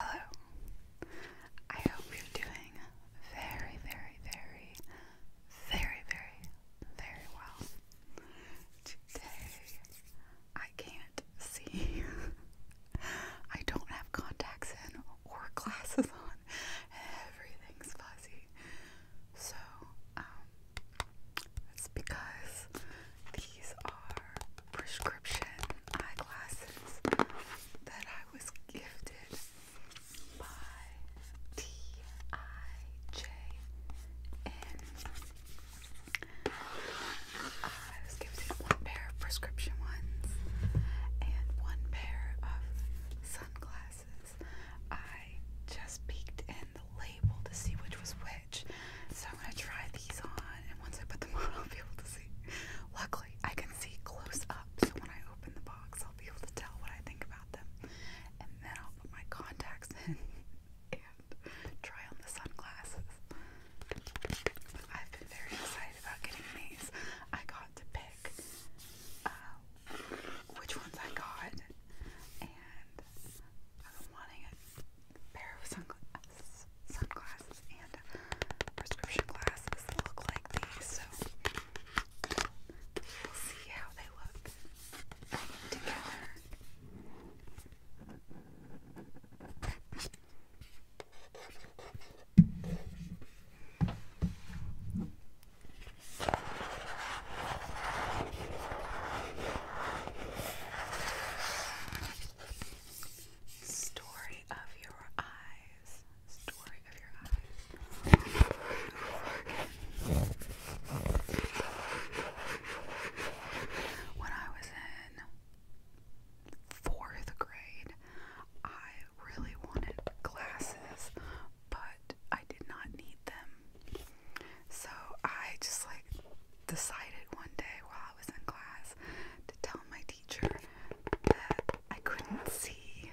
Hello. I hope you're doing very, very, very, very, very, very well. Today, I can't see. I don't have contacts in or glasses on. Everything's fuzzy. So, um, it's because these are prescription eyeglasses that I was gifted by T.I.J.N. I was gifted one pair of prescription ones and one pair of sunglasses. I just peeked in the label to see which was which. So I'm gonna try these on, and once I put them on, I'll be able to see. Luckily, I can see close up, so when I open the box, I'll be able to tell what I think about them. And then I'll put my contacts in and try on the sunglasses. I've been very excited about getting these. I got to pick uh, which ones I got, and I've been wanting it pair of sunglasses, sunglasses and prescription glasses look like these, so we'll see how they look together. Okay, Story of your eyes. Story of your eyes. When I was in fourth grade, I really wanted glasses, but I did not need them. So I just like decided one day while I was in class to tell my teacher that I couldn't see.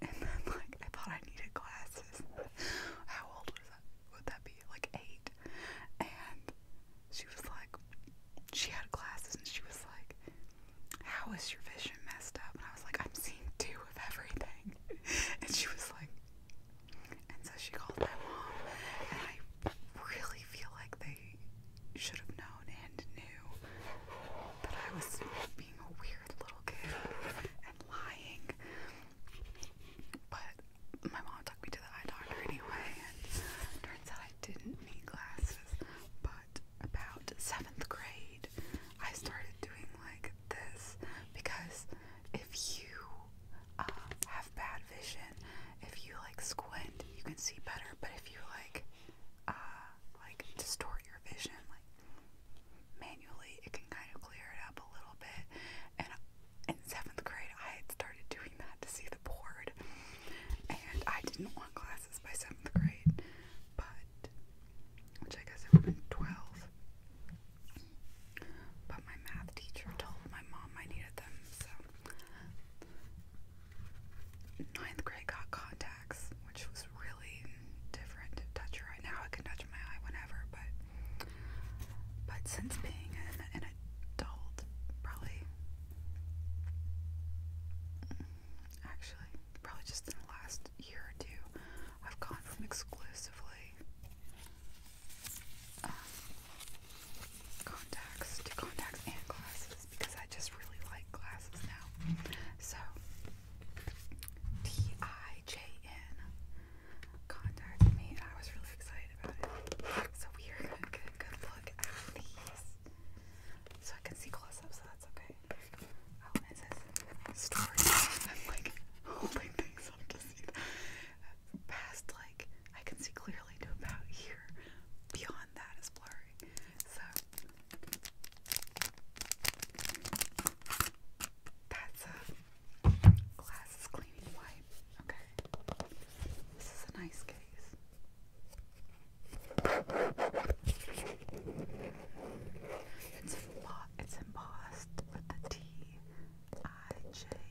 And then, like, I thought I needed glasses. How old was that? Would that be? Like, eight. And she was like, she had glasses and she was like, how is your vision messed up? And I was like, I'm seeing two of everything. And she was like, and so she called my mom, and I really feel like they should have known and knew that I was being a weird little kid and lying. But my mom took me to the eye doctor anyway, and turns out I didn't need glasses. But about seventh grade, I started doing like this because if you um, have bad vision, if you like squint, you can see better. But if you like, uh, like distort your vision, like manually, it can kind of clear it up a little bit. And in seventh grade, I started doing that to see the board, and I didn't want glasses by seventh grade, but which I guess it would have been twelve my math teacher told my mom I needed them, so. Ninth grade got contacts, which was really different. Touch right now, I can touch my eye whenever, but but since being an adult, probably actually probably just in the last year or two, I've gone from exclusively um, contacts contacts and glasses because I just really like glasses now. So T I J N contacted me I was really excited about it. So we are gonna get a good look at these. So I can see close up, so that's okay. Oh, and it says I'm like holding things because past, like, I can see clearly to about here. Beyond that is blurry. So, that's a glasses cleaning wipe. Okay. This is a nice case. It's, embossed with the T I J N.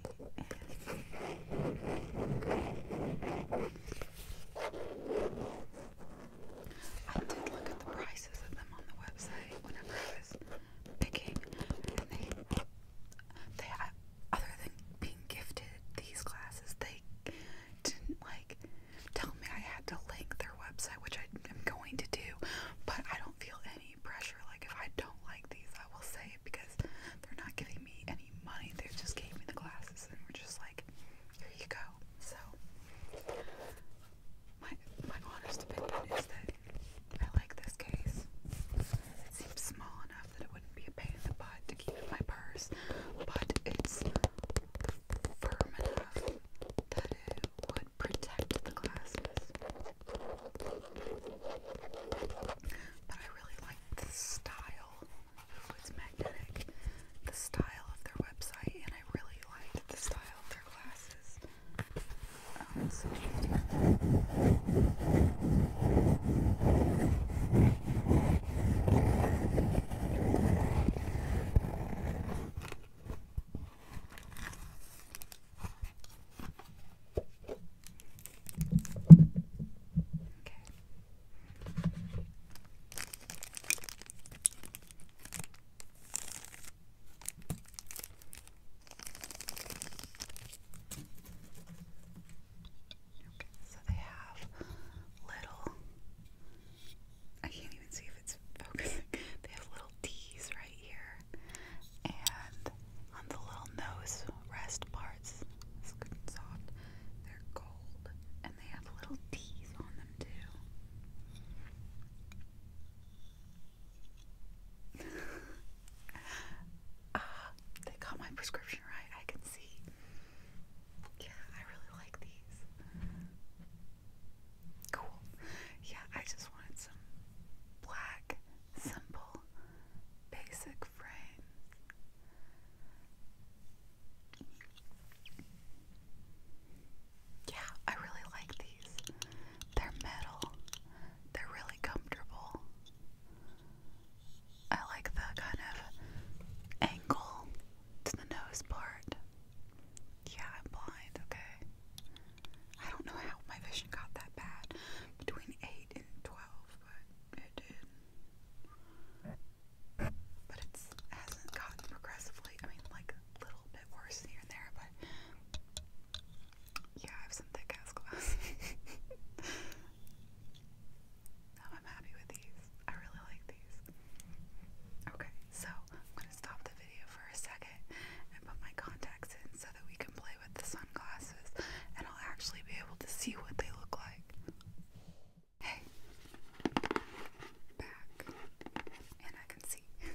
I did look at the prices of them on the website whenever I was picking, and they, they other than being gifted these glasses, they didn't like tell me I had to link their website, which I am going to do, but I don't feel any any pressure. Like, if I don't like these, I will say it because they're not giving me any money. They just gave me the glasses and we're just like, here you go. So, my, my honest opinion is that I like this case. It seems small enough that it wouldn't be a pain in the butt to keep in my purse, but it's firm enough that it would protect the glasses. But I really like the style. it's magnetic. The style of their website, and I really liked the style of their glasses. Um, Okay. Okay, so they have little I can't even see if it's focusing. They have little little T's right here, and on the little nose rest parts, it's good and soft. They're gold, and they have little T's on them too. Ah, they got my prescription right. I can see. Yeah, I really like these. Cool. Yeah, I just wanted some black, simple, basic frame. Yeah, I really like these. They're metal. They're really comfortable. I like the kind of angle to the nose part. Yeah, I'm blind, okay. I don't know how my vision got that bad between 8 and 12, but it did. But it hasn't gotten progressively, I mean, like a little bit worse here and there, but yeah, I have some thick ass glasses. now I'm happy with these. I really like these. Okay, so I'm going to stop the video for a second and put my contacts in so that we can play with the sunglasses and I'll actually be able to see what they look like. Hey, back, and I can see.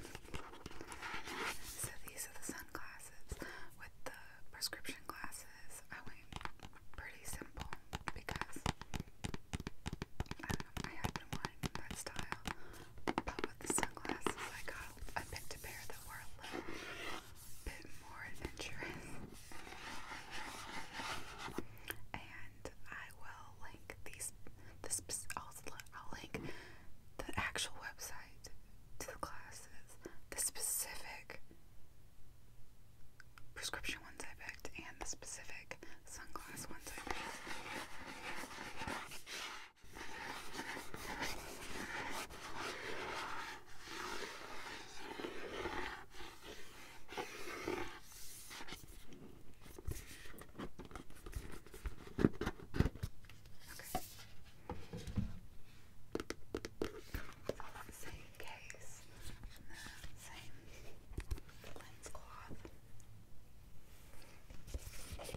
so these are the sunglasses with the prescription glasses. I went pretty simple because I don't know, I had been wanting that style but the sunglasses I got, I picked a pair that were a little bit more adventurous. And I will link these, this, I'll, link the actual website to the classes, the specific prescription ones I picked, and the specific sunglass I picked. Same case, and the same lens cloth. I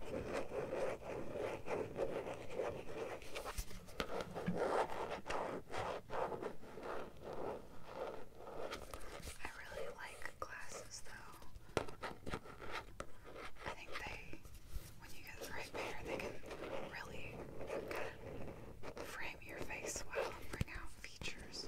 really like glasses though. I think they, when you get the right pair, they can really kind of frame your face well and bring out features.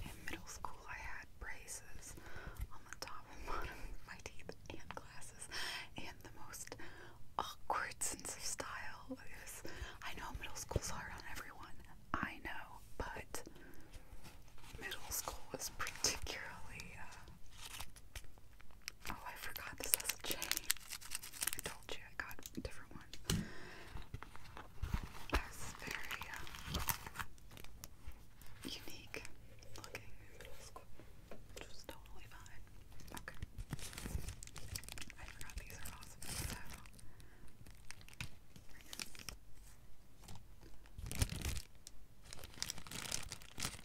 In middle school, I had braces on the top and bottom of my teeth and glasses, and the most awkward sense of style I know middle school's hard on everyone, I know, but middle school was particularly uh, Oh, I forgot this has a chain. I told you I got a different one. That's very um, unique looking. Just totally fine. Okay. I forgot these are awesome. So.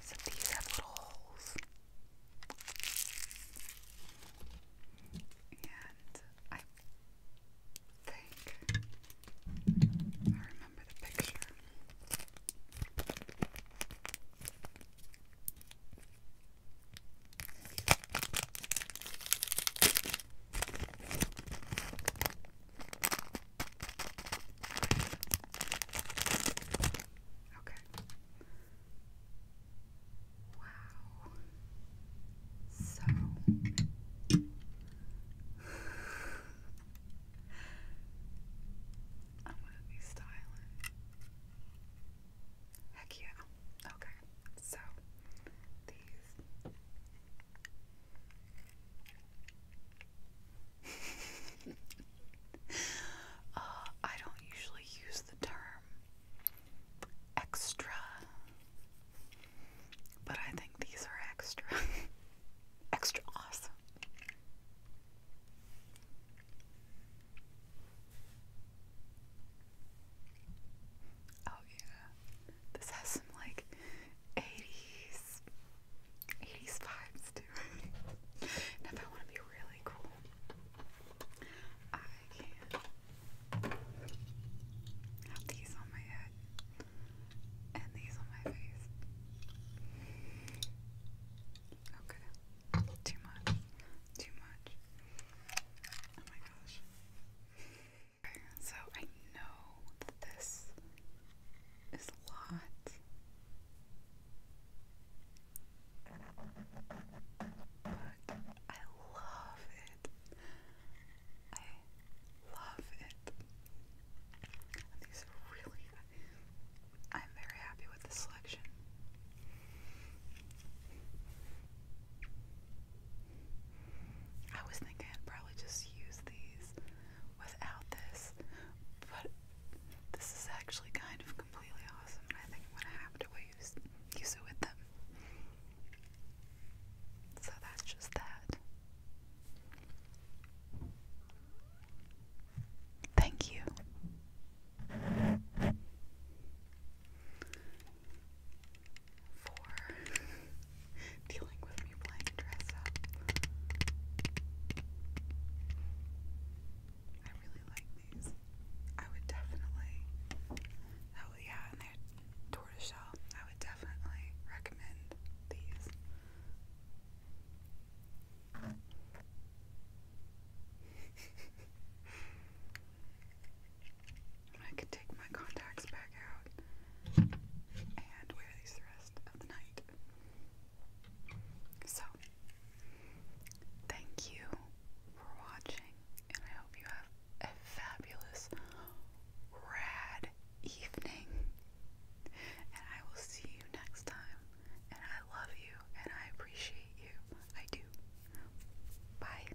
So these have little holes. And I think I remember the picture. Okay. Wow. So I'm gonna be styling. Heck yeah. Okay. So these Uh, I don't usually use the term extra, but I think these are extra. extra awesome. Oh, yeah. This has some like 80s 80s vibes to if I want to be really cool, I can have these on my head and these on my face. Okay. Too much. Too much. Oh my gosh so I know that this is a lot. But I love it. I love it. These are really I'm very happy with this selection. I was thinking I'd probably just use these without this, but this is actually kind of completely awesome, and I think I'm gonna have to use, use it with them. So that's just that. Thank you for dealing with me playing dress up. I really like these. I would definitely, oh yeah, and they're tortoiseshell. I would definitely recommend these. I can take my contacts back out and wear these the rest of the night. So, thank you for watching, and I hope you have a fabulous, rad evening. And I will see you next time. And I love you, and I appreciate you. I do. Bye.